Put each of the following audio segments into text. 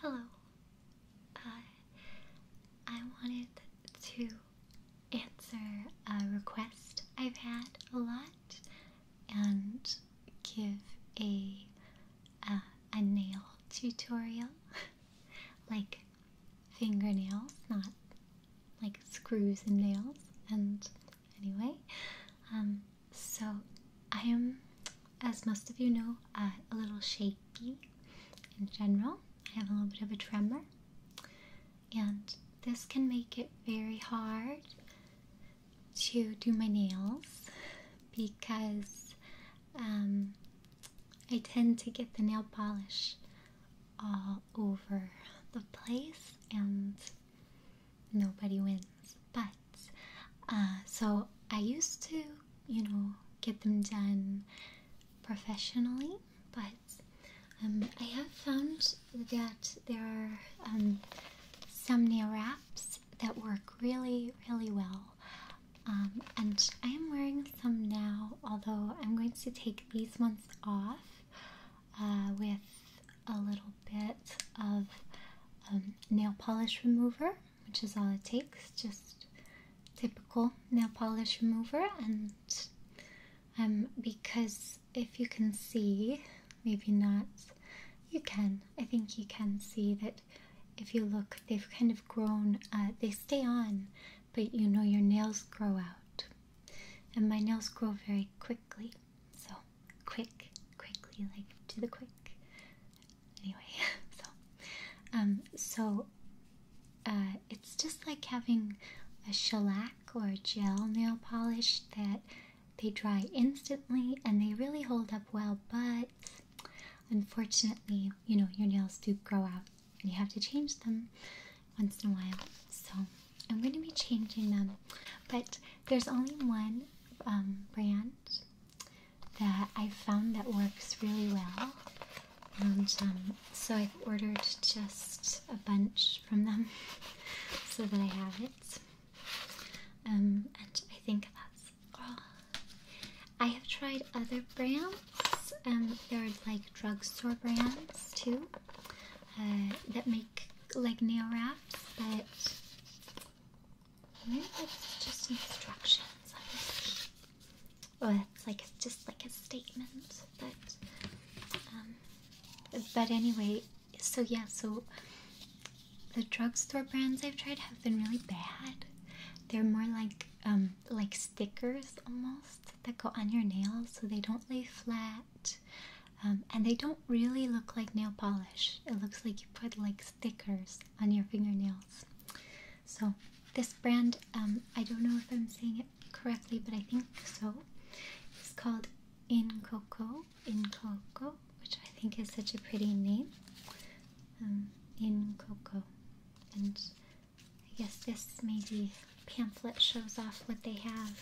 Hello. Uh, I wanted to answer a request I've had a lot and give a uh, a nail tutorial, like fingernails, not like screws and nails, and anyway um, so i am as most of you know uh, a little shaky in general i have a little bit of a tremor and this can make it very hard to do my nails because um, I tend to get the nail polish all over the place and nobody wins. But uh, so I used to, you know, get them done professionally, but um, I have found that there are um, some nail wraps that work really, really well. Um, and I am wearing some now, although I'm going to take these ones off uh, with a little bit of um, nail polish remover, which is all it takes, just typical nail polish remover. And um, because if you can see, maybe not, you can, I think you can see that if you look, they've kind of grown, uh, they stay on, but you know your nails grow out. And my nails grow very quickly, so quick, quickly, like to the quick. Anyway, so um, so uh, it's just like having a shellac or a gel nail polish that they dry instantly and they really hold up well, but unfortunately, you know, your nails do grow out and you have to change them once in a while. So I'm going to be changing them, but there's only one um, brand that I found that works really well, and um, so I've ordered just a bunch from them so that I have it. Um, and I think that's all. I have tried other brands. and there are like drugstore brands too, uh, that make like nail wraps, but maybe that's just instructions. Honestly. it's like just like a statement, but um, but anyway, so yeah, so the drugstore brands I've tried have been really bad. They're more like um like stickers almost that go on your nails, so they don't lay flat. Um, and they don't really look like nail polish. It looks like you put like stickers on your fingernails. So this brand, um, I don't know if I'm saying it correctly, but I think so. is called In Coco, In Coco, which I think is such a pretty name. Um, in Coco, and I guess this maybe pamphlet shows off what they have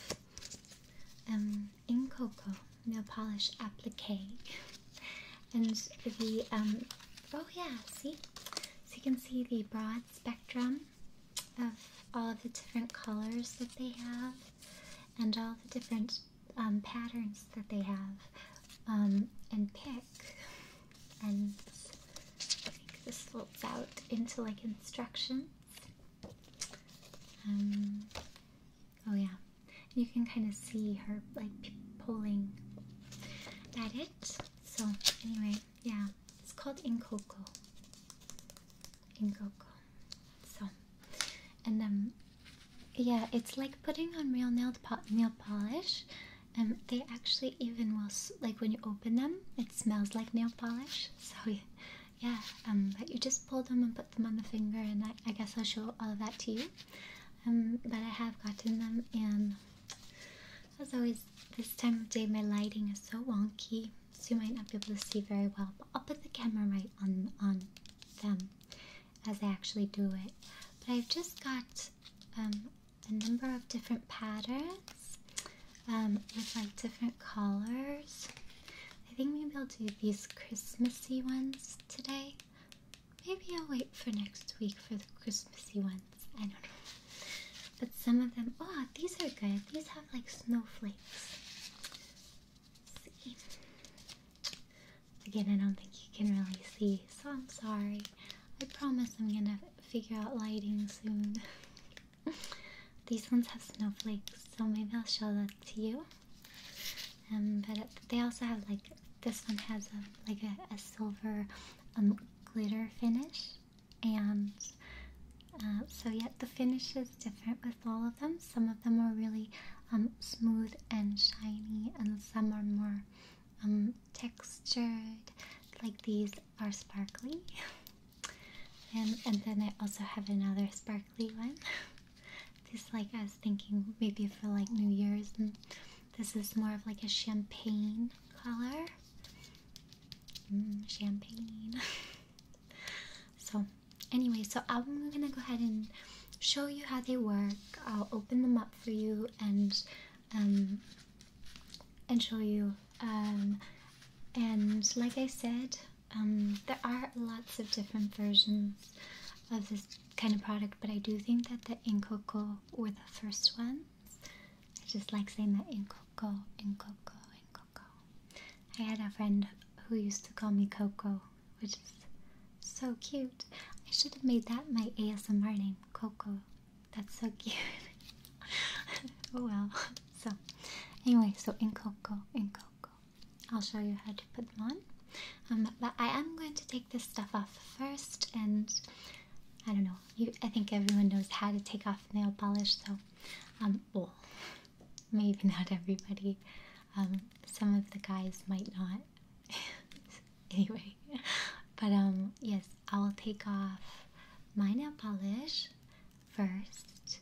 in Cocoa nail polish applique. And the, um, oh yeah, see? So you can see the broad spectrum of all of the different colors that they have and all the different um, patterns that they have um, and pick. And I think this folds out into like instructions um, oh yeah, you can kind of see her like pulling at it. So anyway, yeah, it's called Inkoko. Inkoko. So, and um, yeah, it's like putting on real nail nail polish. Um, they actually even will like when you open them, it smells like nail polish. So yeah, yeah, um, but you just pull them and put them on the finger, and I, guess I'll show all of that to you. Um, but I have gotten them, and as always, this time of day my lighting is so wonky, so you might not be able to see very well. But I'll put the camera right on on them as I actually do it. But I've just got um, a number of different patterns with like different colors. I think maybe I'll do these Christmassy ones today. Maybe I'll wait for next week for the Christmassy ones. I don't know. But some of them, oh, these are good. These have like snowflakes. see. Again, I don't think you can really see, so I'm sorry. I promise I'm gonna figure out lighting soon. These ones have snowflakes, so maybe I'll show that to you. Um, but they also have like this one has a, like a, silver um, glitter finish, and uh, so yeah, the finish is different with all of them. Some of them are really um, smooth and shiny, and some are more textured. Like these are sparkly. and and then I also have another sparkly one. Just like I was thinking maybe for like New Year's, this is more of like a champagne color. Mm, champagne. so anyway, so I'm gonna go ahead and show you how they work. I'll open them up for you and um and show you um and like I said um, there are lots of different versions of this kind of product, but I do think that the Inkoko were the first ones. I just like saying that Inkoko, Inkoko, Inkoko. I had a friend who used to call me Coco, which is so cute. I should have made that my ASMR name, Coco. That's so cute. oh well. So, anyway, so Inkoko, Inkoko. I'll show you how to put them on. Um, but I am going to take this stuff off first, and I don't know. You, I think everyone knows how to take off nail polish, so um, well, maybe not everybody. Um, some of the guys might not. anyway, but um, yes, I will take off my nail polish first,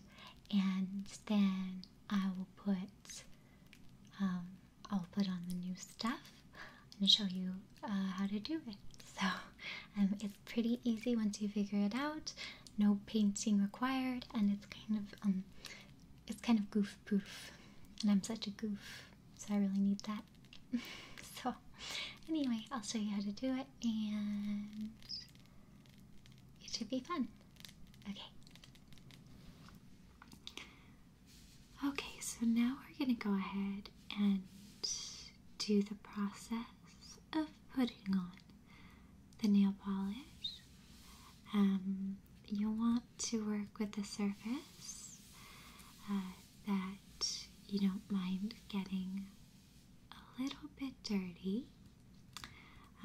and then I will put um, I'll put on the new stuff and show you uh, how to do it. So um, it's pretty easy once you figure it out. No painting required, and it's kind of um, it's kind of goof proof, and I'm such a goof, so I really need that. so anyway, I'll show you how to do it, and it should be fun. Okay. Okay, so now we're going to go ahead and do the process of putting on the nail polish. Um, you want to work with a surface uh, that you don't mind getting a little bit dirty.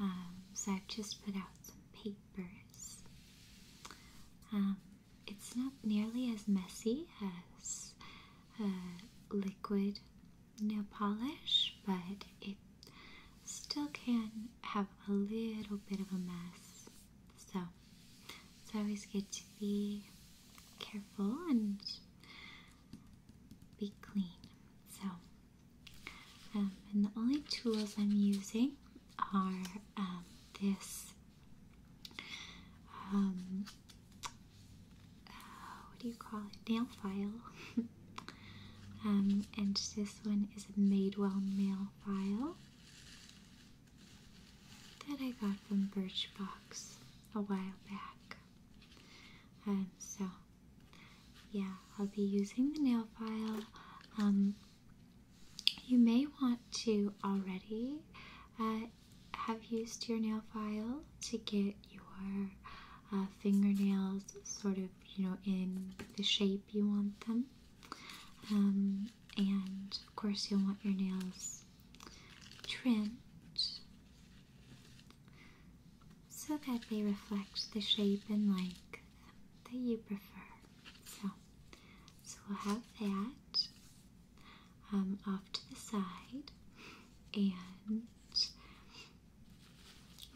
Um, so I've just put out some papers. Um, it's not nearly as messy as uh, liquid nail polish, but it still can have a little bit of a mess. So it's always good to be careful and be clean. So, um, and the only tools I'm using are um, this. Um, uh, what do you call it? Nail file. and this one is a Madewell nail file that I got from Birchbox a while back. Um, so yeah, I'll be using the nail file. Um, you may want to already uh, have used your nail file to get your uh, fingernails sort of, you know, in the shape you want them. Um, and of course, you'll want your nails trimmed so that they reflect the shape and length that you prefer. So, so we'll have that um, off to the side, and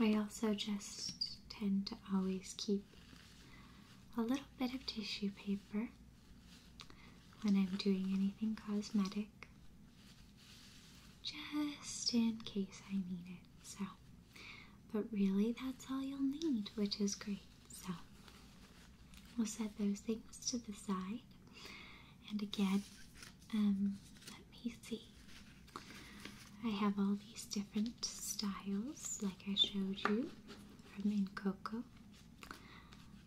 I also just tend to always keep a little bit of tissue paper when I'm doing anything cosmetic, just in case I need it. So. But really, that's all you'll need, which is great. So, we'll set those things to the side. And again, um, let me see. I have all these different styles, like I showed you from In Coco.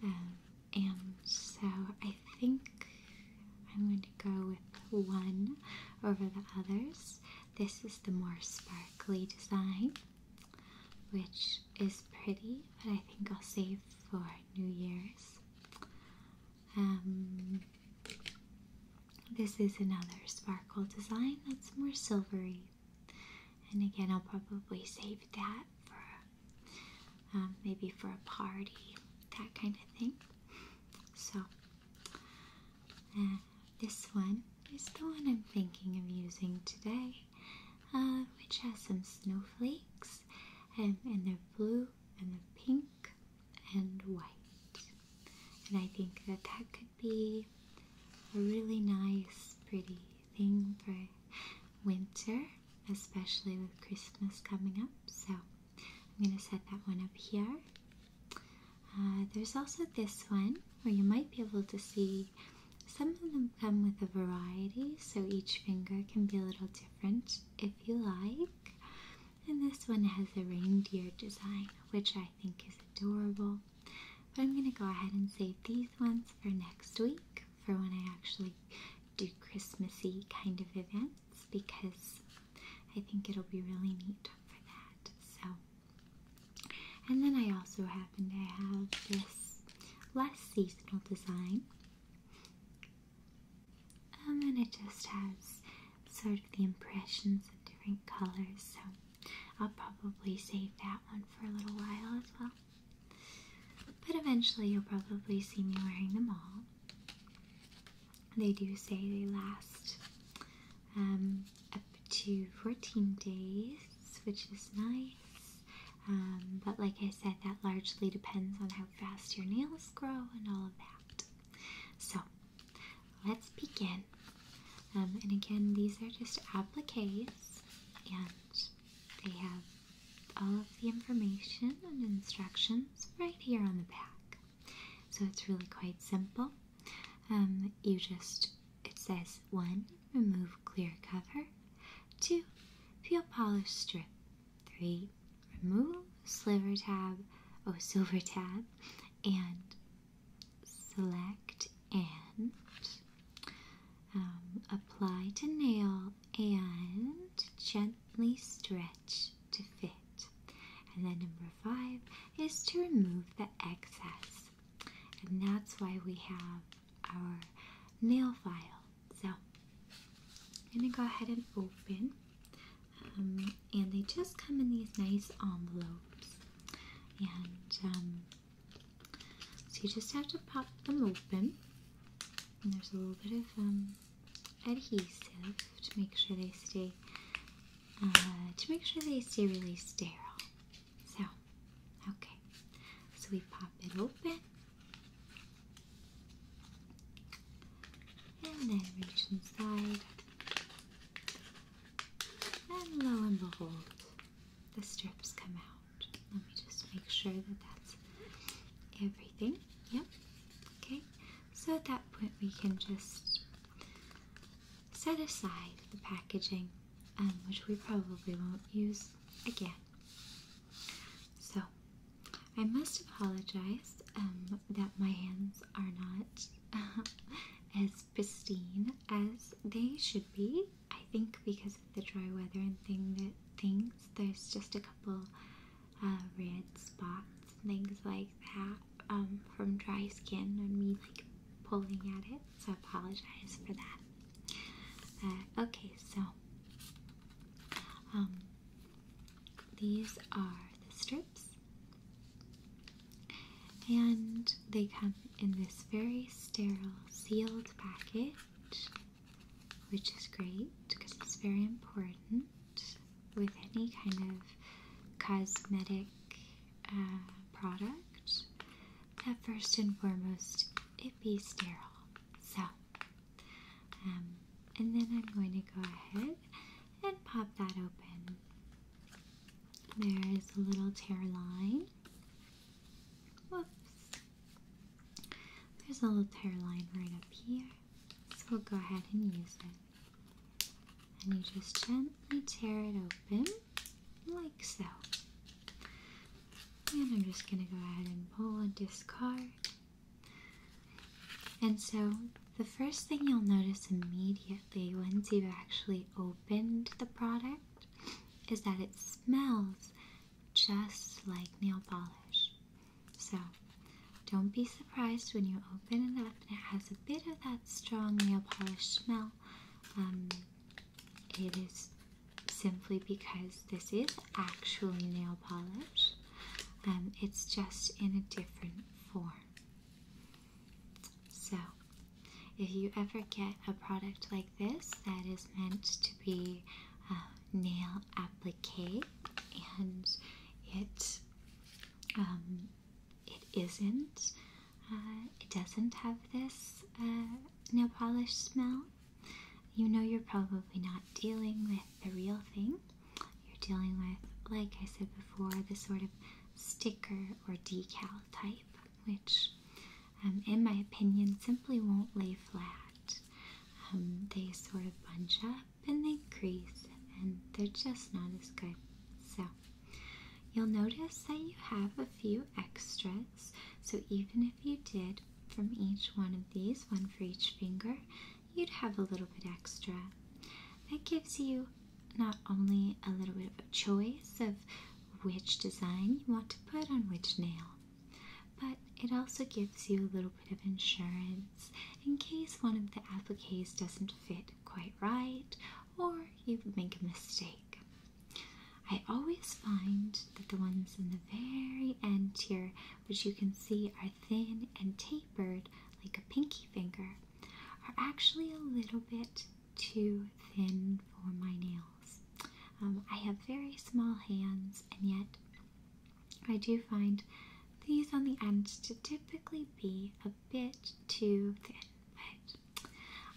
Um, and so I think I'm going to go with one over the others. This is the more sparkly design, which is pretty, but I think I'll save for New Year's. Um, this is another sparkle design that's more silvery. And again, I'll probably save that for um, maybe for a party, that kind of thing. So this one is the one I'm thinking of using today, uh, which has some snowflakes, and, um, and they're blue, and they're pink, and white. And I think that that could be a really nice, pretty thing for winter, especially with Christmas coming up. So I'm going to set that one up here uh, there's also this one where you might be able to see some of them come with a variety, so each finger can be a little different if you like. And this one has a reindeer design, which I think is adorable. But I'm going to go ahead and save these ones for next week for when I actually do Christmassy kind of events because I think it'll be really neat for that. So, and then I also happen to have this less seasonal design. Um, and it just has sort of the impressions of different colors, so I'll probably save that one for a little while as well. But eventually, you'll probably see me wearing them all. They do say they last um, up to 14 days, which is nice. Um, but like I said, that largely depends on how fast your nails grow and all of that. So let's begin. Um, and again, these are just appliques and they have all of the information and instructions right here on the back. So it's really quite simple. Um, you just, it says one, remove clear cover, two, peel polish strip, three, remove sliver tab, oh, silver tab, and select and um, apply to nail and gently stretch to fit. And then number five is to remove the excess. And that's why we have our nail file. So I'm going to go ahead and open. Um, and they just come in these nice envelopes. And um, so you just have to pop them open. And there's a little bit of um, adhesive to make sure they stay uh, to make sure they stay really sterile. So, okay. So we pop it open. And then reach inside. And lo and behold, the strips come out. Let me just make sure that that's everything. Yep. Okay. So at that point, we can just set aside the packaging, um, which we probably won't use again. So I must apologize um, that my hands are not as pristine as they should be. I think because of the dry weather and thing that things, there's just a couple uh, red spots things like that. Um, from dry skin and me like pulling at it, so I apologize for that. Uh, okay, so um, these are the strips, and they come in this very sterile sealed package, which is great because it's very important with any kind of cosmetic uh, product that first and foremost it be sterile. So, um, and then I'm going to go ahead and pop that open. There is a little tear line. Whoops. There's a little tear line right up here. So we'll go ahead and use it. And you just gently tear it open, like so. And I'm just going to go ahead and pull and discard. And so, the first thing you'll notice immediately once you've actually opened the product is that it smells just like nail polish. So, don't be surprised when you open it up and it has a bit of that strong nail polish smell. Um, it is simply because this is actually nail polish, um, it's just in a different form. So, if you ever get a product like this that is meant to be uh, nail applique and it um, it isn't. Uh, it doesn't have this uh, nail polish smell. You know, you're probably not dealing with the real thing. You're dealing with, like I said before, the sort of sticker or decal type, which, um, in my opinion, simply won't lay flat. Um, they sort of bunch up and they crease and they're just not as good. So you'll notice that you have a few extras. So even if you did from each one of these, one for each finger, you'd have a little bit extra. That gives you not only a little bit of a choice of which design you want to put on which nail, but it also gives you a little bit of insurance in case one of the appliques doesn't fit quite right or you make a mistake. I always find that the ones in the very end here, which you can see are thin and tapered like a pinky finger, are actually a little bit too thin for my nails. Um, I have very small hands and yet I do find these on the end to typically be a bit too thin, but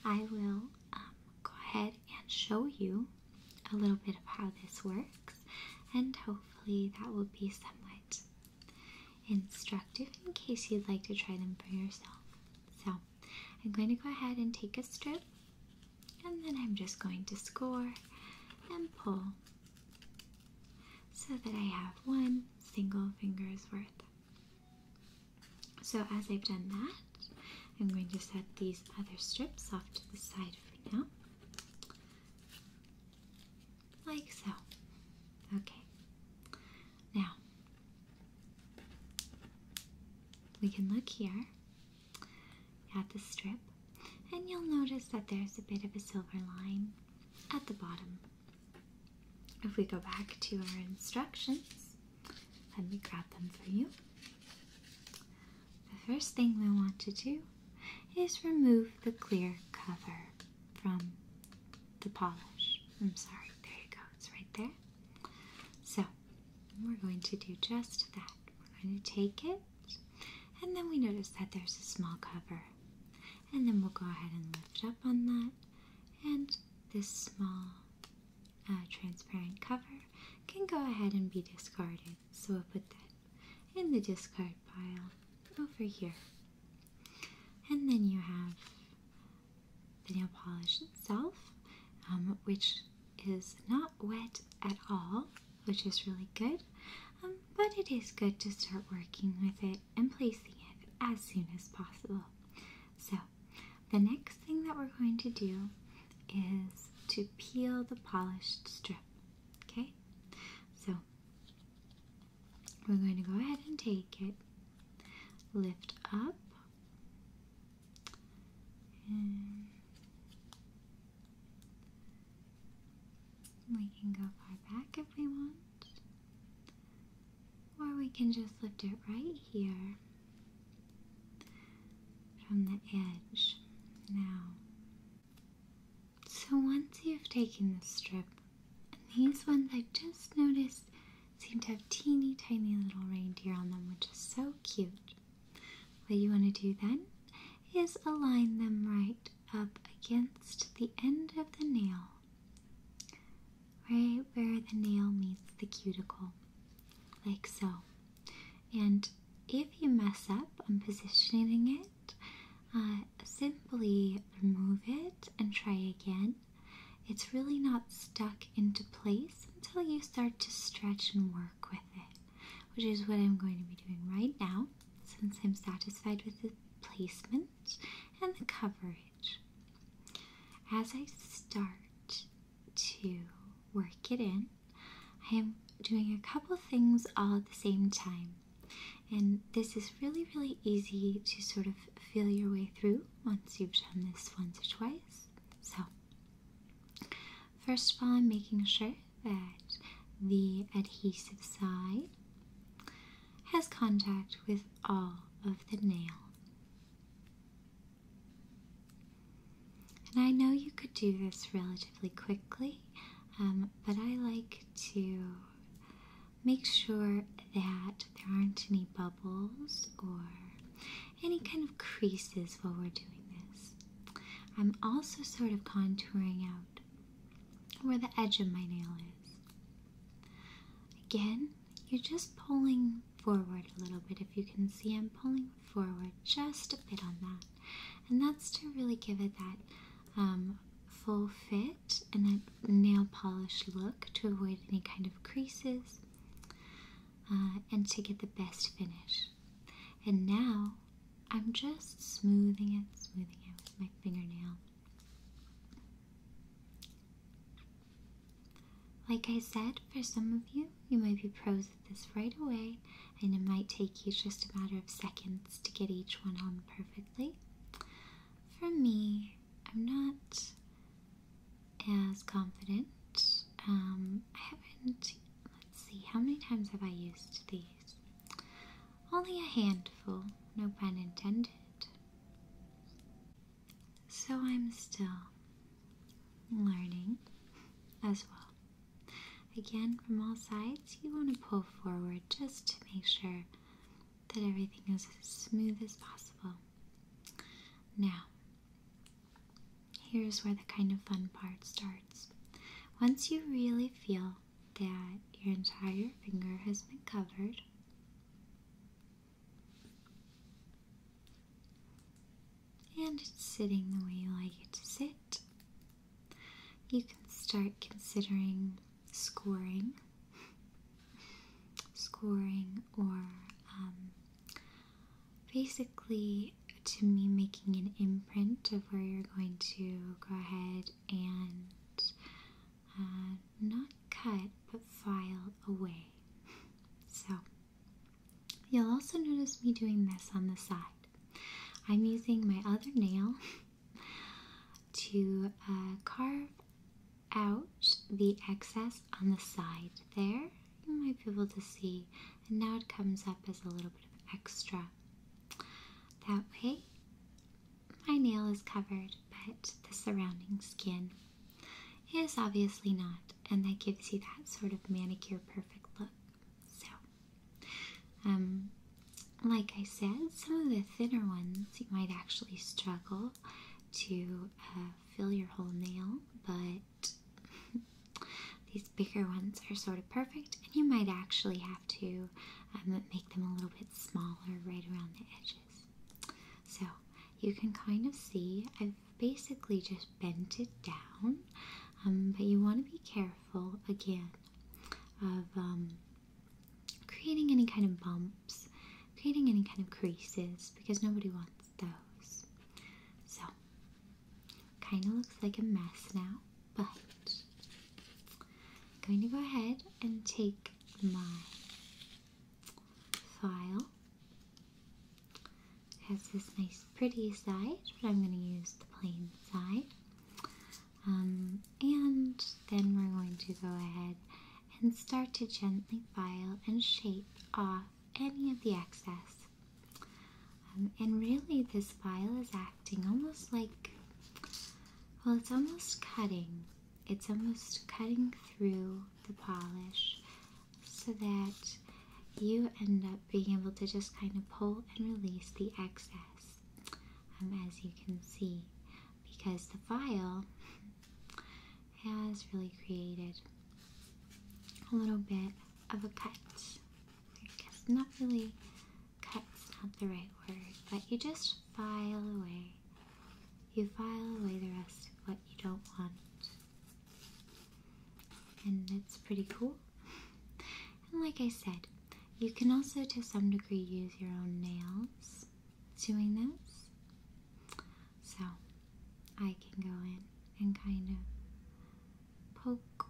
I will um, go ahead and show you a little bit of how this works, and hopefully that will be somewhat instructive in case you'd like to try them for yourself. So I'm going to go ahead and take a strip, and then I'm just going to score and pull so that I have one single finger's worth. So as I've done that, I'm going to set these other strips off to the side for now. Like so. Okay. Now, we can look here at the strip, and you'll notice that there's a bit of a silver line at the bottom. If we go back to our instructions, let me grab them for you. The first thing we want to do is remove the clear cover from the polish. I'm sorry, there you go, it's right there. So, we're going to do just that. We're going to take it, and then we notice that there's a small cover and then we'll go ahead and lift up on that and this small uh, transparent cover can go ahead and be discarded so we'll put that in the discard pile over here and then you have the nail polish itself um, which is not wet at all which is really good um, but it is good to start working with it and placing it as soon as possible. So, the next thing that we're going to do is to peel the polished strip. Okay? So, we're going to go ahead and take it, lift up, and we can go far back if we want. Or we can just lift it right here from the edge now. So once you've taken the strip, and these ones I just noticed seem to have teeny tiny little reindeer on them, which is so cute. What you want to do then is align them right up against the end of the nail, right where the nail meets the cuticle, like so. And if you mess up on positioning it, uh, simply remove it and try again. It's really not stuck into place until you start to stretch and work with it, which is what I'm going to be doing right now since I'm satisfied with the placement and the cover as I start to work it in, I am doing a couple things all at the same time. And this is really, really easy to sort of feel your way through once you've done this once or twice. So, first of all, I'm making sure that the adhesive side has contact with all of the nail. And I know you could do this relatively quickly, um, but I like to make sure that there aren't any bubbles or any kind of creases while we're doing this. I'm also sort of contouring out where the edge of my nail is. Again, you're just pulling forward a little bit. If you can see, I'm pulling forward just a bit on that. And that's to really give it that um, full fit and that nail polish look to avoid any kind of creases uh, and to get the best finish. And now I'm just smoothing it, smoothing it with my fingernail. Like I said, for some of you, you might be pros at this right away, and it might take you just a matter of seconds to get each one on perfectly. For me, I'm not as confident. Um, I haven't, let's see, how many times have I used these? Only a handful, no pun intended. So I'm still learning as well. Again, from all sides, you want to pull forward just to make sure that everything is as smooth as possible. Now, here's where the kind of fun part starts. Once you really feel that your entire finger has been covered, and it's sitting the way you like it to sit. You can start considering scoring, scoring, or um, basically to me making an imprint of where you're going to go ahead and uh, not cut but filed away. so you'll also notice me doing this on the side. I'm using my other nail to uh, carve out the excess on the side there. You might be able to see. And now it comes up as a little bit of extra. That way, my nail is covered, but the surrounding skin is obviously not, and that gives you that sort of manicure perfect look. So, um, like I said, some of the thinner ones you might actually struggle to uh, fill your whole nail, but these bigger ones are sort of perfect, and you might actually have to um, make them a little bit smaller right around the edges. So you can kind of see I've basically just bent it down, um, but you want to be careful again of um, creating any kind of bumps, creating any kind of creases because nobody wants those. So kind of looks like a mess now, but I'm going to go ahead and take my file. has this nice pretty side, but I'm going to use the plain side. Um, and then we're going to go ahead and start to gently file and shape off any of the excess. Um, and really, this file is acting almost like well, it's almost cutting it's almost cutting through the polish so that you end up being able to just kind of pull and release the excess, um, as you can see, because the file has really created a little bit of a cut. not really cut's not the right word, but you just file away you file away the rest of what you don't want. And it's pretty cool. And like I said, you can also to some degree use your own nails doing this. So I can go in and kind of poke,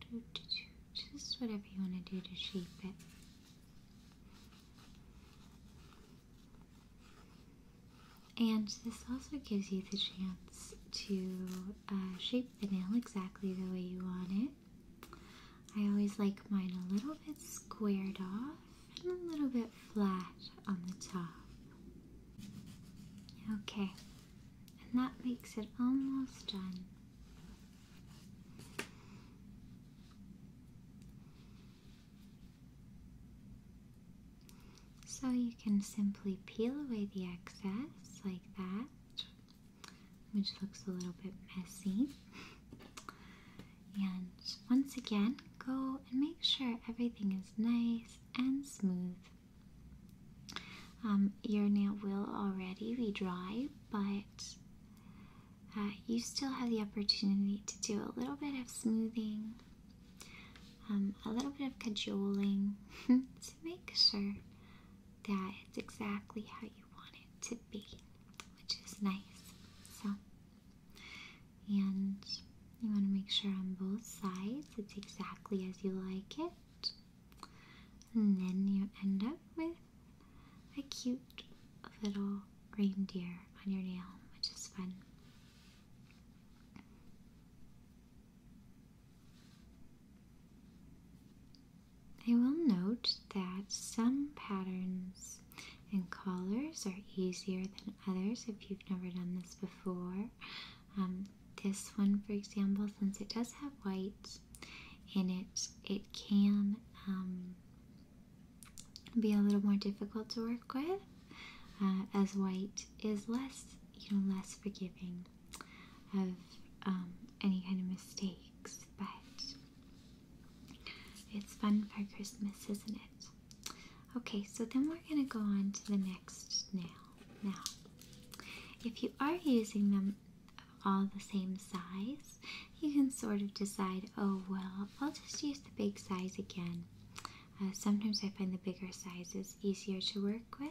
do, do, do, just whatever you want to do to shape it. And this also gives you the chance to uh, shape the nail exactly the way you want it. I always like mine a little bit squared off and a little bit flat on the top. Okay, and that makes it almost done. So you can simply peel away the excess like that, which looks a little bit messy. And once again, go and make sure everything is nice and smooth. Um, your nail will already be dry, but uh, you still have the opportunity to do a little bit of smoothing, um, a little bit of cajoling to make sure that it's exactly how you want it to be, which is nice. So, and you want to make sure on both sides it's exactly as you like it, and then you end up with a cute little reindeer on your nail, which is fun. I will note that some patterns and colors are easier than others if you've never done this before. Um, this one, for example, since it does have white in it, it can um, be a little more difficult to work with, uh, as white is less, you know, less forgiving of um, any kind of mistakes. But it's fun for Christmas, isn't it? Okay, so then we're gonna go on to the next nail. Now, if you are using them all the same size, you can sort of decide, oh well, I'll just use the big size again. Uh, sometimes I find the bigger sizes easier to work with,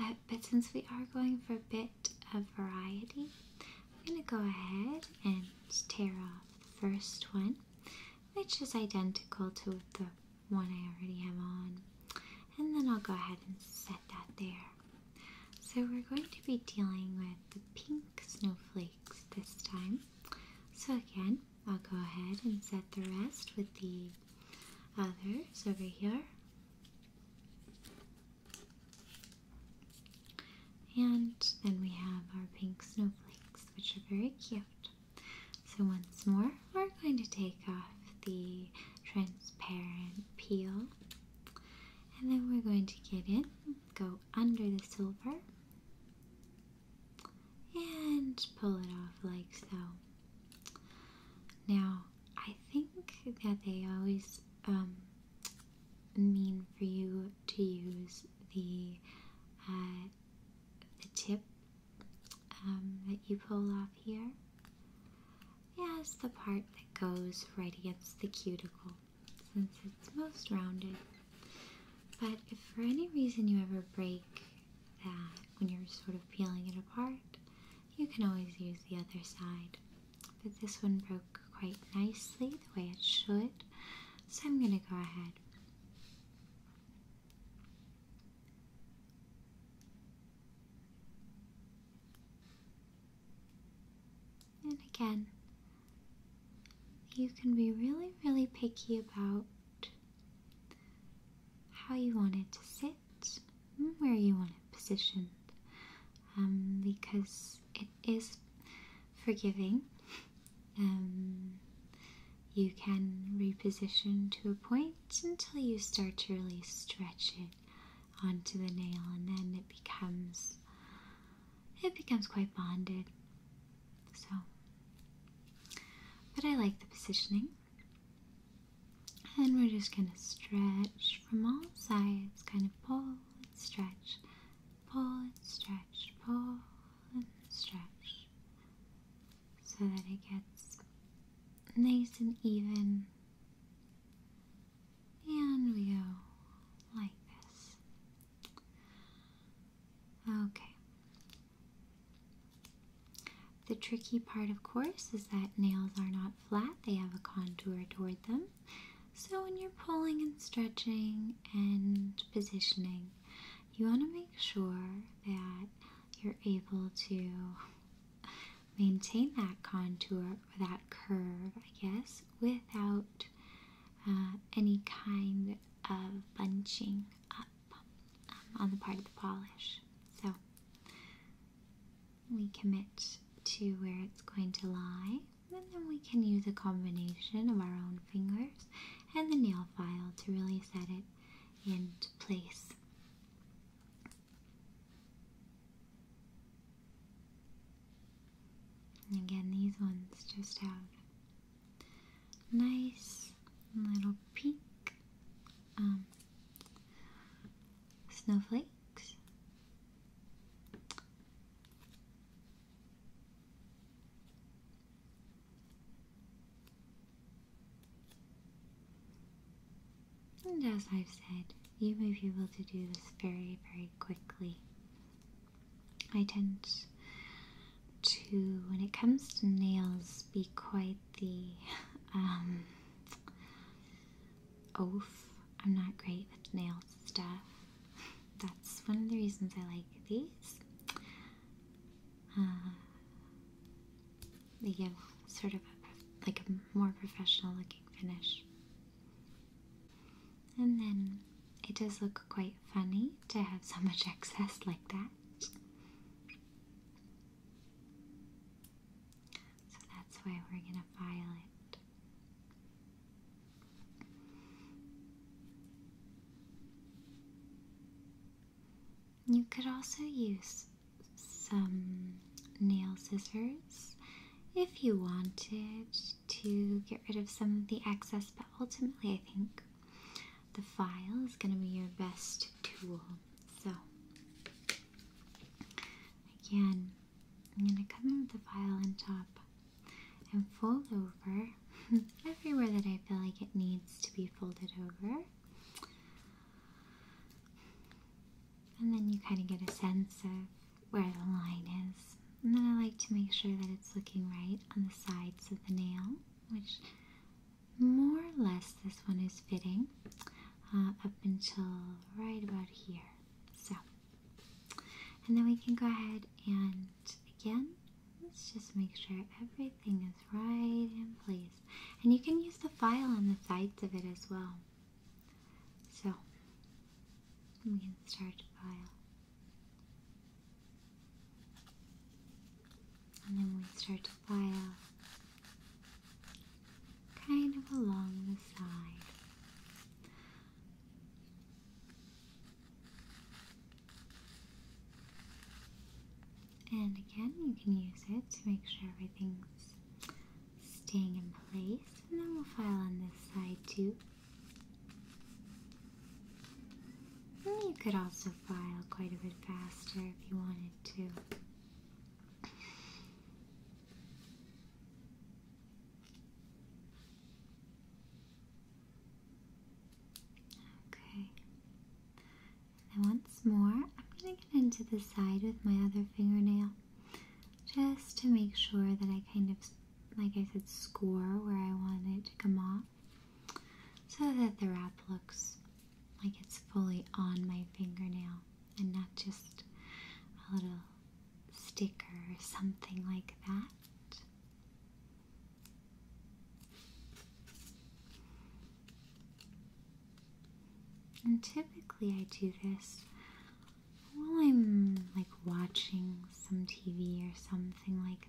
uh, but since we are going for a bit of variety, I'm going to go ahead and tear off the first one, which is identical to the one I already have on. And then I'll go ahead and set that there. So we're going to be dealing with the pink snowflake this time. So again, I'll go ahead and set the rest with the others over here. And then we have our pink snowflakes, which are very cute. So once more, we're going to take off the transparent peel. And then we're going to get in, go under the silver, and pull it off like so. Now, I think that they always um, mean for you to use the, uh, the tip um, that you pull off here Yes, the part that goes right against the cuticle since it's most rounded. But if for any reason you ever break that when you're sort of peeling it apart, you can always use the other side. But this one broke quite nicely the way it should, so I'm going to go ahead. And again, you can be really, really picky about how you want it to sit, where you want it positioned, um, because it is forgiving. Um, you can reposition to a point until you start to really stretch it onto the nail, and then it becomes it becomes quite bonded. So, but I like the positioning. And we're just going to stretch from all sides, kind of pull and stretch, pull and stretch, pull and stretch, so that it gets nice and even. And we go like this. Okay. The tricky part, of course, is that nails are not flat, they have a contour toward them. So, when you're pulling and stretching and positioning, you want to make sure that you're able to maintain that contour or that curve, I guess, without uh, any kind of bunching up um, on the part of the polish. So we commit to where it's going to lie, and then we can use a combination of our own fingers and the nail file to really set it into place. Again, these ones just have nice little peak um, snowflakes. And as I've said, you may be able to do this very, very quickly. I tend to, when it comes to nails, be quite the um, oaf. I'm not great with nail stuff. That's one of the reasons I like these. Uh, they give sort of like a more professional looking finish. And then it does look quite funny to have so much excess like that. So that's why we're going to file it. You could also use some nail scissors if you wanted to get rid of some of the excess, but ultimately, I think the file is going to be your best tool. So, again, I'm going to come in with the file on top and fold over everywhere that I feel like it needs to be folded over. And then you kind of get a sense of where the line is. And then I like to make sure that it's looking right on the sides of the nail, which more or less this one is fitting uh, up until right about here. So, and then we can go ahead and again, let's just make sure everything is right in place. And you can use the file on the sides of it as well. So, we can start to pile. And then we start to file kind of along the side. And again, you can use it to make sure everything's staying in place. And then we'll file on this side too. You could also file quite a bit faster if you wanted to. Okay. And once more, I'm going to get into the side with my other fingernail just to make sure that I kind of like I said, score where I want it to come off so that the wrap looks like it's fully on my fingernail and not just a little sticker or something like that. And typically I do this while I'm like watching some TV or something like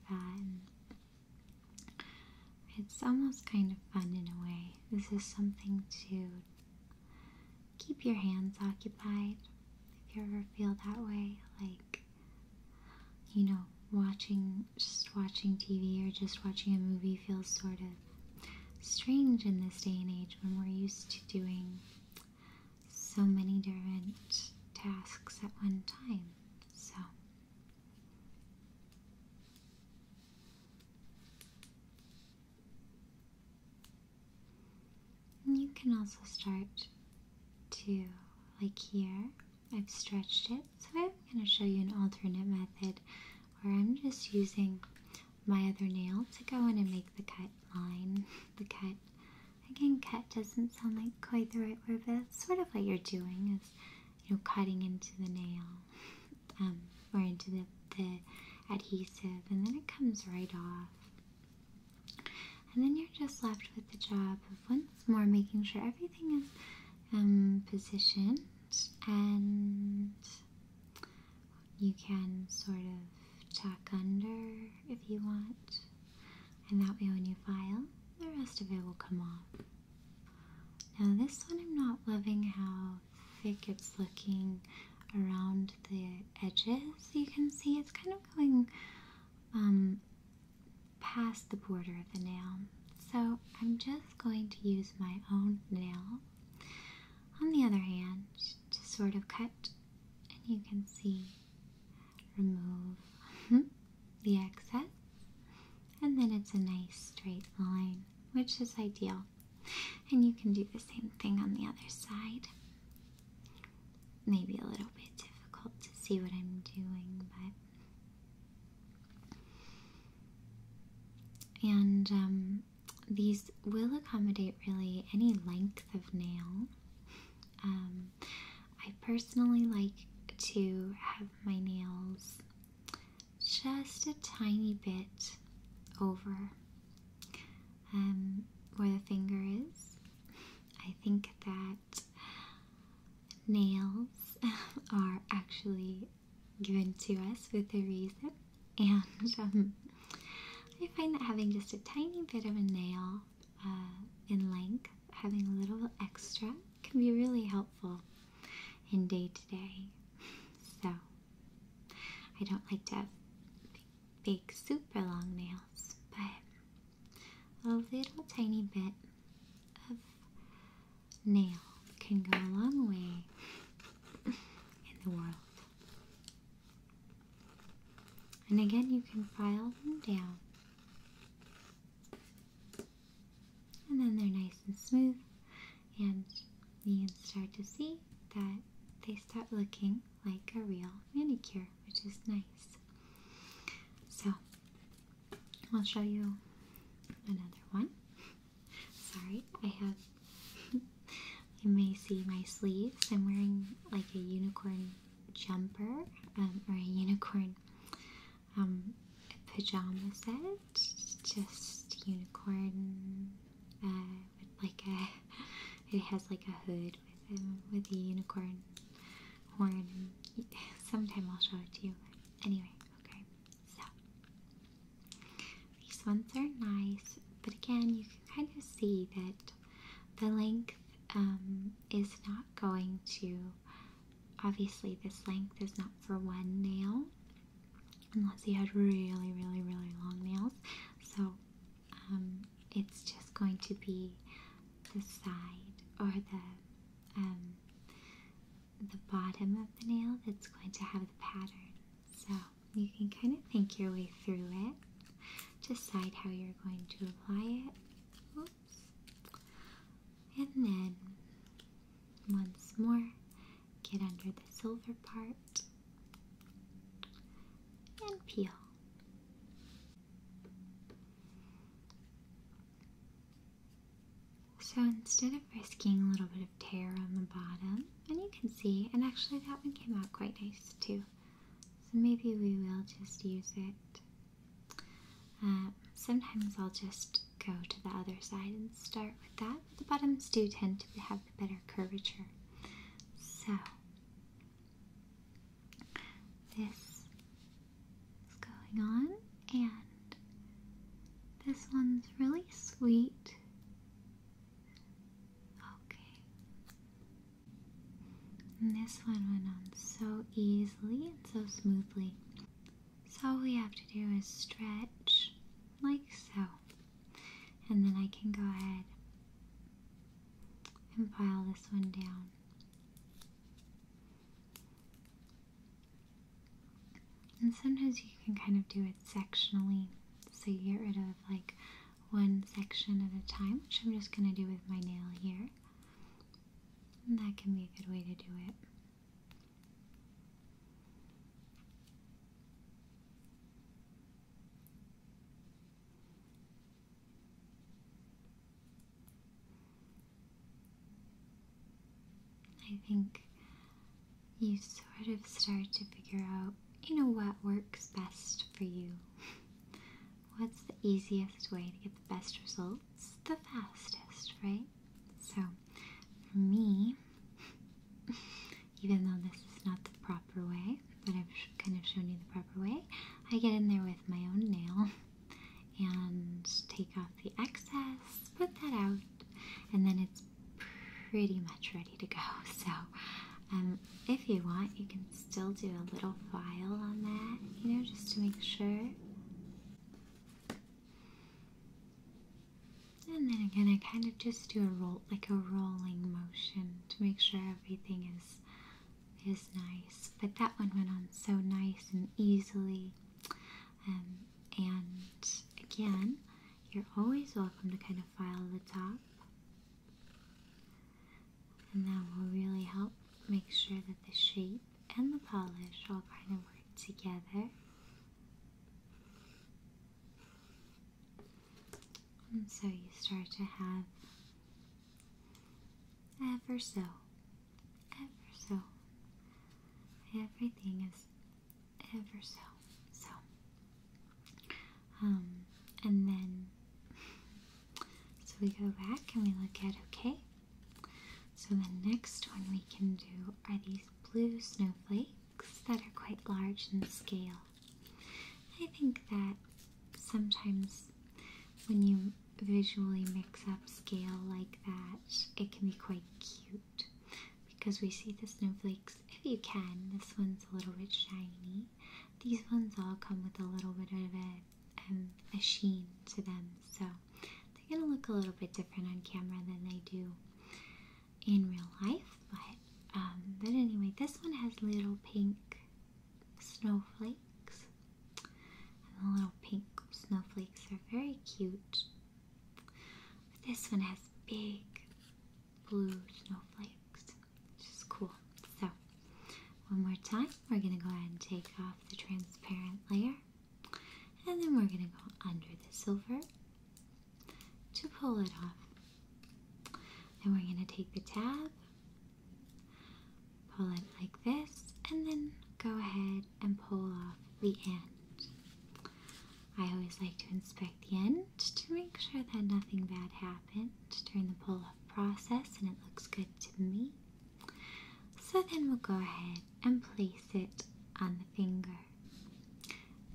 it's almost kind of fun in a way. This is something to keep your hands occupied if you ever feel that way. Like, you know, watching, just watching TV or just watching a movie feels sort of strange in this day and age when we're used to doing so many different tasks at one time. So you can also start to like here. I've stretched it, so I'm going to show you an alternate method where I'm just using my other nail to go in and make the cut line. the cut Again, Cut doesn't sound like quite the right word, but that's sort of what you're doing is, you know, cutting into the nail um, or into the, adhesive, and then it comes right off. And then you're just left with the job of once more making sure everything is um, positioned and you can sort of tack under if you want and that way when you file, the rest of it will come off. Now this one I'm not loving how thick it's looking around the edges. You can see it's kind of going um, past the border of the nail. So I'm just going to use my own nail on the other hand to sort of cut and you can see remove uh-huh, the excess, and then it's a nice straight line, which is ideal. And you can do the same thing on the other side. Maybe a little bit difficult to see what I'm doing, but. And um, these will accommodate really any length of nail. Um, I personally like to have my nails just a tiny bit over um, where the finger is. I think that nails are actually given to us with a reason, and um, I find that having just a tiny bit of a nail uh, in length, having a little extra can be really helpful in day to day. So, I don't like to have big, super long nails, but a little tiny bit of nail can go a long way in the world. And again, you can file them down and then they're nice and smooth, and you start to see that they start looking like a real manicure, which is nice. So, I'll show you another one. Sorry, I have. you may see my sleeves. I'm wearing like a unicorn jumper um, or a unicorn a um, pajama set, just unicorn uh, like a, it has like a hood with, um, with a unicorn horn. And sometime I'll show it to you. anyway, okay, so these ones are nice, but again, you can kind of see that the length um, is not going to obviously this length is not for one nail unless you had really really really long nails so um, it's just going to be the side or the um, the bottom of the nail that's going to have the pattern so you can kind of think your way through it decide how you're going to apply it and then once more, get under the silver part and peel. So instead of risking a little bit of tear on the bottom, and you can see, and actually that one came out quite nice too. So maybe we will just use it uh, sometimes I'll just go to the other side and start with that. But the bottoms do tend to have the better curvature. So this is going on, and this one's really sweet. Okay. And this one went on so easily and so smoothly. So all we have to do is stretch like so. And then I can go ahead and pile this one down. And sometimes you can kind of do it sectionally. So you get rid of like one section at a time, which I'm just going to do with my nail here that can be a good way to do it. I think you sort of start to figure out, you know, what works best for you. what's the easiest way to get the best results? The fastest, right? So, for me, even though this is not the proper way, but I've kind of shown you the proper way, I get in there with my own nail and take off the excess, put that out, and then it's pretty much ready to go. So, um, if you want, you can still do a little file on that, you know, just to make sure. And then again, I kind of just do a roll, like a rolling motion to make sure everything is is nice. But that one went on so nice and easily. Um, and again, you're always welcome to kind of file the top and that will really help make sure that the shape and the polish all kind of work together. And so you start to have ever so, ever so, everything is ever so, so. Um, and then, so we go back and we look at okay, so the next one we can do are these blue snowflakes that are quite large in scale. I think that sometimes when you visually mix up scale like that, it can be quite cute because we see the snowflakes, if you can, this one's a little bit shiny. These ones all come with a little bit of it um, a sheen to them. So they're going to look a little bit different on camera than they do in real life. But, um, but anyway, this one has little pink snowflakes. And the little pink snowflakes are very cute. But this one has big blue snowflakes, which is cool. So one more time, we're going to go ahead and take off the transparent layer. And then we're going to go under the silver to pull it off. And we're going to take the tab, pull it like this, and then go ahead and pull off the end. I always like to inspect the end to make sure that nothing bad happened during the pull-off process and it looks good to me. So then we'll go ahead and place it on the finger.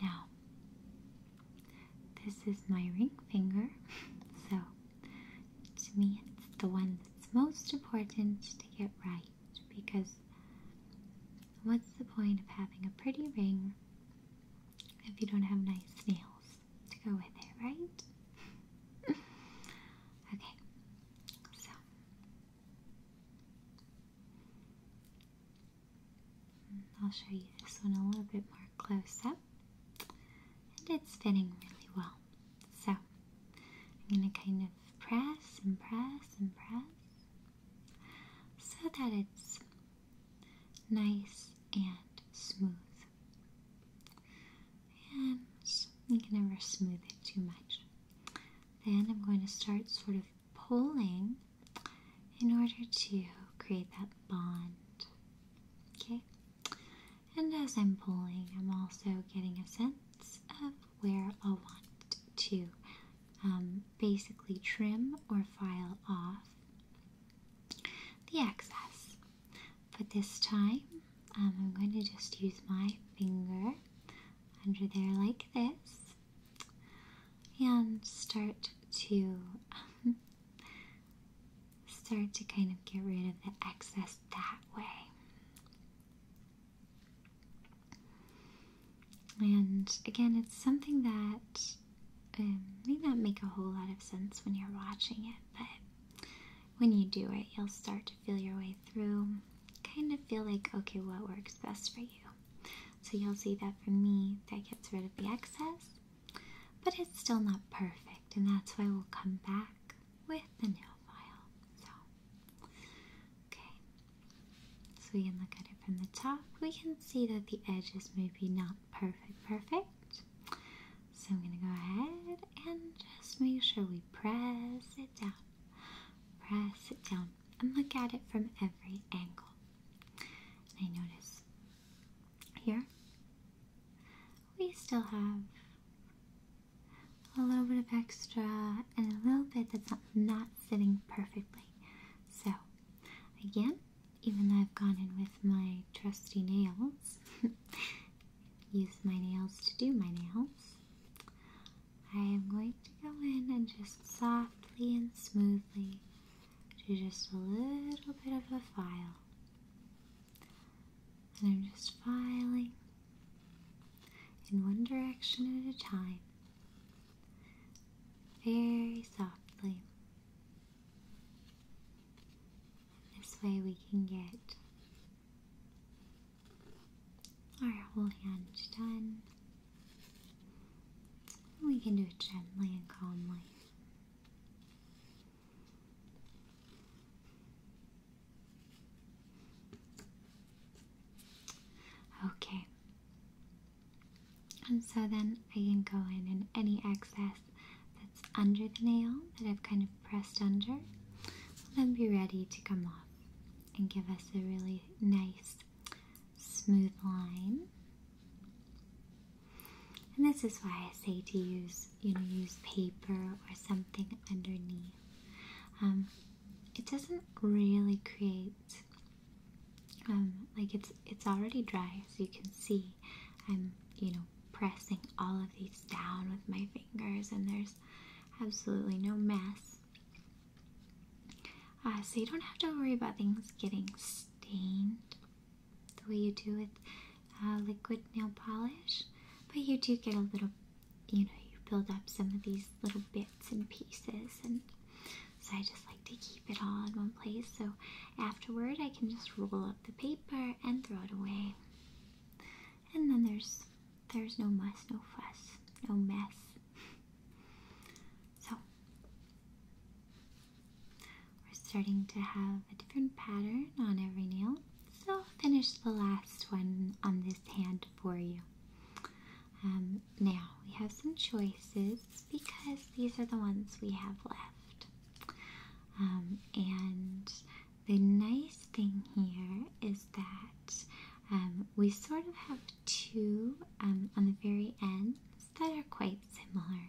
Now, this is my ring finger, so to me it's the one that's most important to get right because what's the point of having a pretty ring if you don't have nice nails to go with it, right? Okay, so mm, I'll show you this one a little bit more close up, and it's fitting really well. So I'm going to kind of press and press and press so that it's nice and smooth and you can never smooth it too much. Then I'm going to start sort of pulling in order to create that bond. Okay? And as I'm pulling, I'm also getting a sense of where I want to um, basically trim or file off the excess. But this time, um, I'm going to just use my finger under there like this and start to um, start to kind of get rid of the excess that way. And again, it's something that um, may not make a whole lot of sense when you're watching it, but when you do it, you'll start to feel your way through, kind of feel like, okay, what works best for you. So you'll see that for me, that gets rid of the excess, but it's still not perfect, and that's why we'll come back with the nail file. So, okay. So we can look at it from the top. We can see that the edges maybe not perfect, perfect. So I'm going to go ahead and just make sure we press it down. Press it down and look at it from every angle. I notice here we still have a little bit of extra and a little bit that's not, not sitting perfectly. So again, even though I've gone in with my trusty nails use my nails to do my nails, I am going to go in and just softly and smoothly do just a little bit of a file. And I'm just filing in one direction at a time, very softly. This way we can get our whole hand's done. We can do it gently and calmly. Okay. And so then I can go in and any excess under the nail that I've kind of pressed under and then be ready to come off and give us a really nice smooth line. And this is why I say to use, you know, use paper or something underneath. Um, it doesn't really create um, like it's it's already dry, as you can see. I'm you know pressing all of these down with my fingers, and there's absolutely no mess. Uh, so you don't have to worry about things getting stained the way you do with uh, liquid nail polish, but you do get a little, you know, you build up some of these little bits and pieces, and so I just like to keep it all in one place. So afterward, I can just roll up the paper and throw it away and then there's there's no mess, no fuss, no mess. So we're starting to have a different pattern on every nail. So I'll finish the last one on this hand for you. Um, now we have some choices because these are the ones we have left. Um, and the nice thing here is that um, we sort of have two um, on the very ends that are quite similar.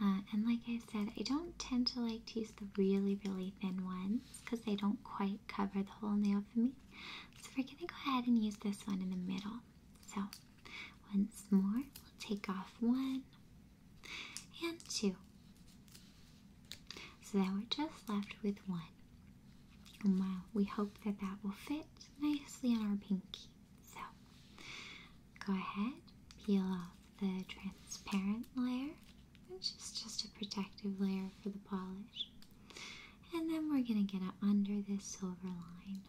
Uh, and like I said, I don't tend to like to use the really, really thin ones because they don't quite cover the whole nail for me. So we're going to go ahead and use this one in the middle. So once more, we'll take off one, and two. So now we're just left with one. And wow, we hope that that will fit nicely on our pinky. So go ahead, peel off the transparent layer, which is just a protective layer for the polish. And then we're going to get it under this silver line.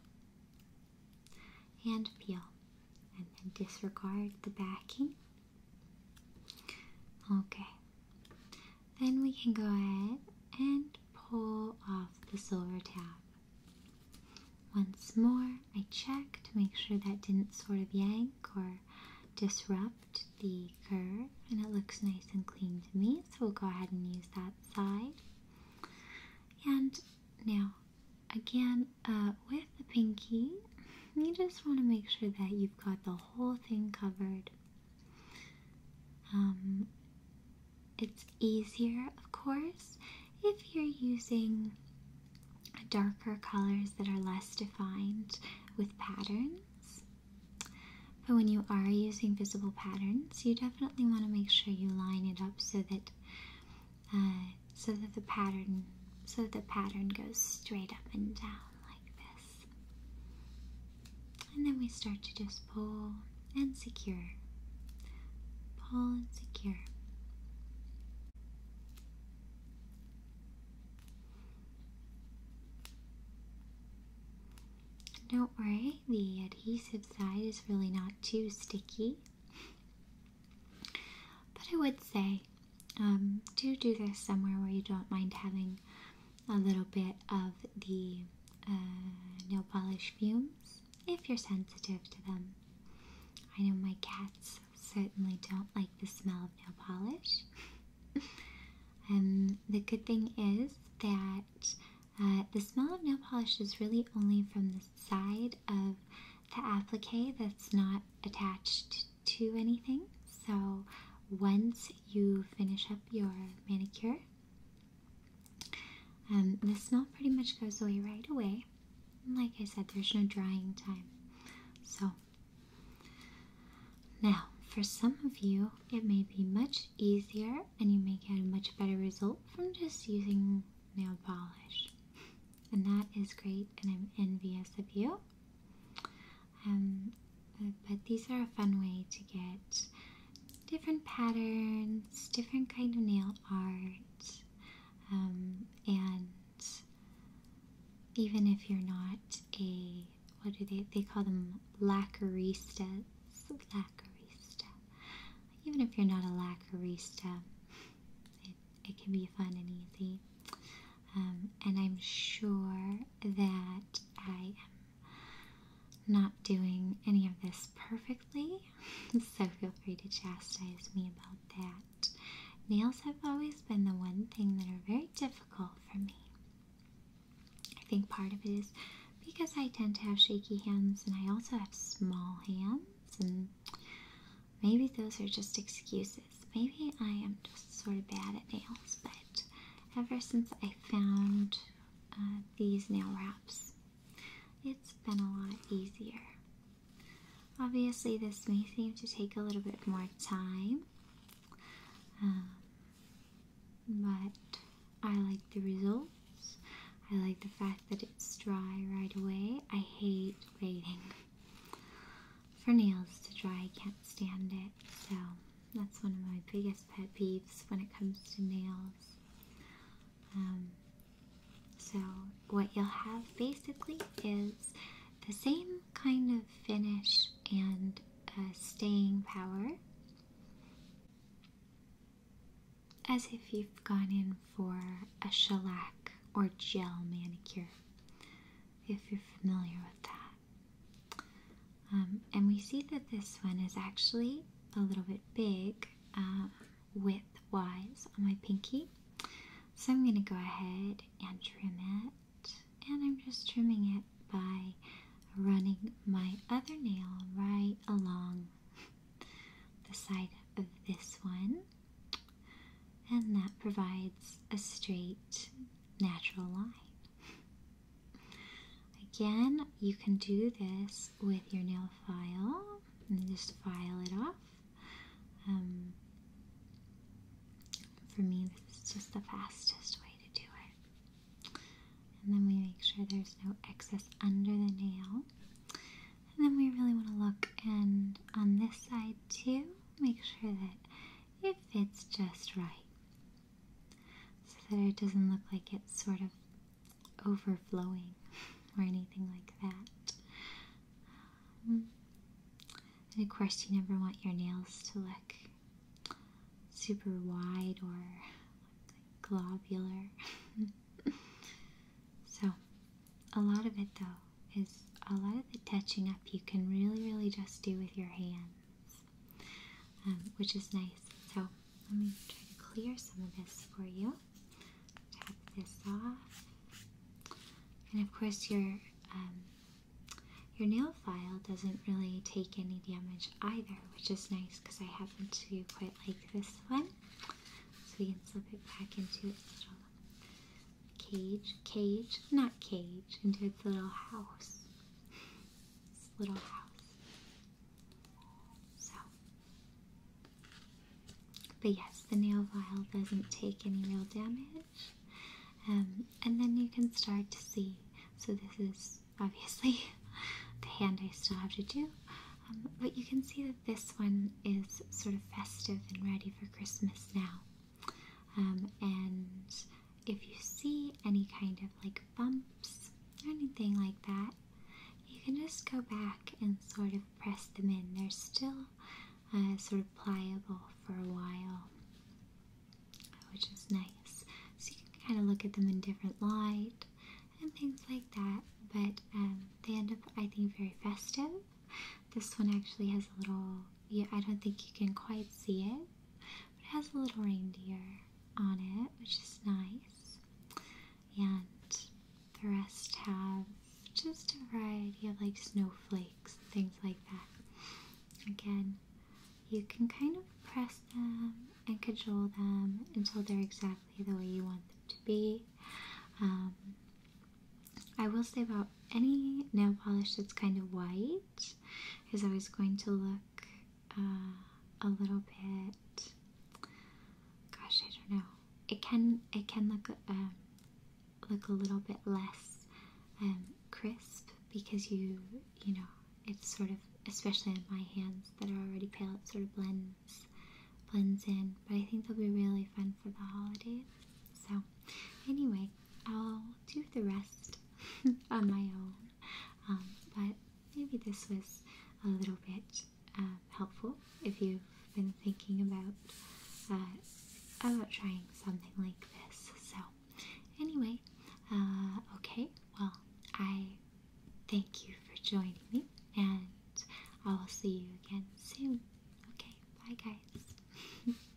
And peel. And then disregard the backing Okay. Then we can go ahead and pull off the silver tab. Once more, I check to make sure that didn't sort of yank or disrupt the curve and it looks nice and clean to me. So we'll go ahead and use that side. And now, again, a uh, with the pinky, you just want to make sure that you've got the whole thing covered. Um, it's easier, of course, if you're using darker colors that are less defined with patterns. But when you are using visible patterns, you definitely want to make sure you line it up so that uh, so that the pattern so that the pattern goes straight up and down and then we start to just pull and secure. Pull and secure. Don't worry, the adhesive side is really not too sticky. But I would say um, do do this somewhere where you don't mind having a little bit of the uh, nail polish fumes if you're sensitive to them. I know my cats certainly don't like the smell of nail polish. um, the good thing is that uh, the smell of nail polish is really only from the side of the applique that's not attached to anything. So once you finish up your manicure, um, the smell pretty much goes away right away. like I said, there's no drying time. So now, for some of you, it may be much easier and you may get a much better result from just using nail polish. And that is great, and I'm envious of you. Um, but these are a fun way to get different patterns, different kind of nail art, um, and even if you're not a what do they they call them lacqueristas lacquerista even if you're not a lacquerista it, it can be fun and easy um, and I'm sure that I am not doing any of this perfectly, so feel free to chastise me about that. Nails have always been the one thing that are very difficult for me. I think part of it is because I tend to have shaky hands and I also have small hands, and maybe those are just excuses Maybe I am just sort of bad at nails, but ever since I found uh, these nail wraps, it's been a lot easier. Obviously, this may seem to take a little bit more time, um, but I like the results. I like the fact that it's dry right away. I hate waiting for nails to dry. I can't stand it. So that's one of my biggest pet peeves when it comes to nails. Um, so what you'll have basically is the same kind of finish and staying power as if you've gone in for a shellac or gel manicure if you're familiar with that. Um, and we see that this one is actually a little bit big uh, width wise on my pinky. So I'm going to go ahead and trim it. And I'm just trimming it by running my other nail right along the side of this one. And that provides a straight natural line. Again, you can do this with your nail file and just file it off. Um, for me, this is just the fastest way to do it. And then we make sure there's no excess under the nail. And then we really want to look and on this side too, make sure that if it's just right so that it doesn't look like it's sort of overflowing or anything like that. Um, and of course, you never want your nails to look super wide or globular. so, a lot of it though is a lot of the touching up you can really, really just do with your hands, um, which is nice. So let me try to clear some of this for you. Tap this off, and of course your um, your nail file doesn't really take any damage either, which is nice because I happen to quite like this one. So we can slip it back into its cage, cage, not cage, into its little house. Its little house. So. But yes, the nail file doesn't take any real damage. Um, and then you can start to see. So, this is obviously the hand I still have to do. Um, but you can see that this one is sort of festive and ready for Christmas now. Um, and if you see any kind of like bumps or anything like that, you can just go back and sort of press them in. They're still uh, sort of pliable for a while, which is nice. So you can kind of look at them in different light and things like that. But um, they end up, I think, very festive. This one actually has a little yeah, I don't think you can quite see it, but it has a little reindeer on it, which is nice. And the rest have just a variety of like snowflakes, things like that. Again, you can kind of press them and cajole them until they're exactly the way you want them to be. Um, I will say about any nail polish that's kind of white is always going to look uh, a little bit. Gosh, I don't know. It can it can look uh, look a little bit less um, crisp because you you know it's sort of especially on my hands that are already pale. It sort of blends blends in, but I think they'll be really fun for the holidays. So anyway, I'll do the rest on my own. Um, but maybe this was a little bit uh, helpful if you've been thinking about uh, about trying something like this. So, anyway, uh, okay. Well, I thank you for joining me, and I will see you again soon. Okay, bye, guys.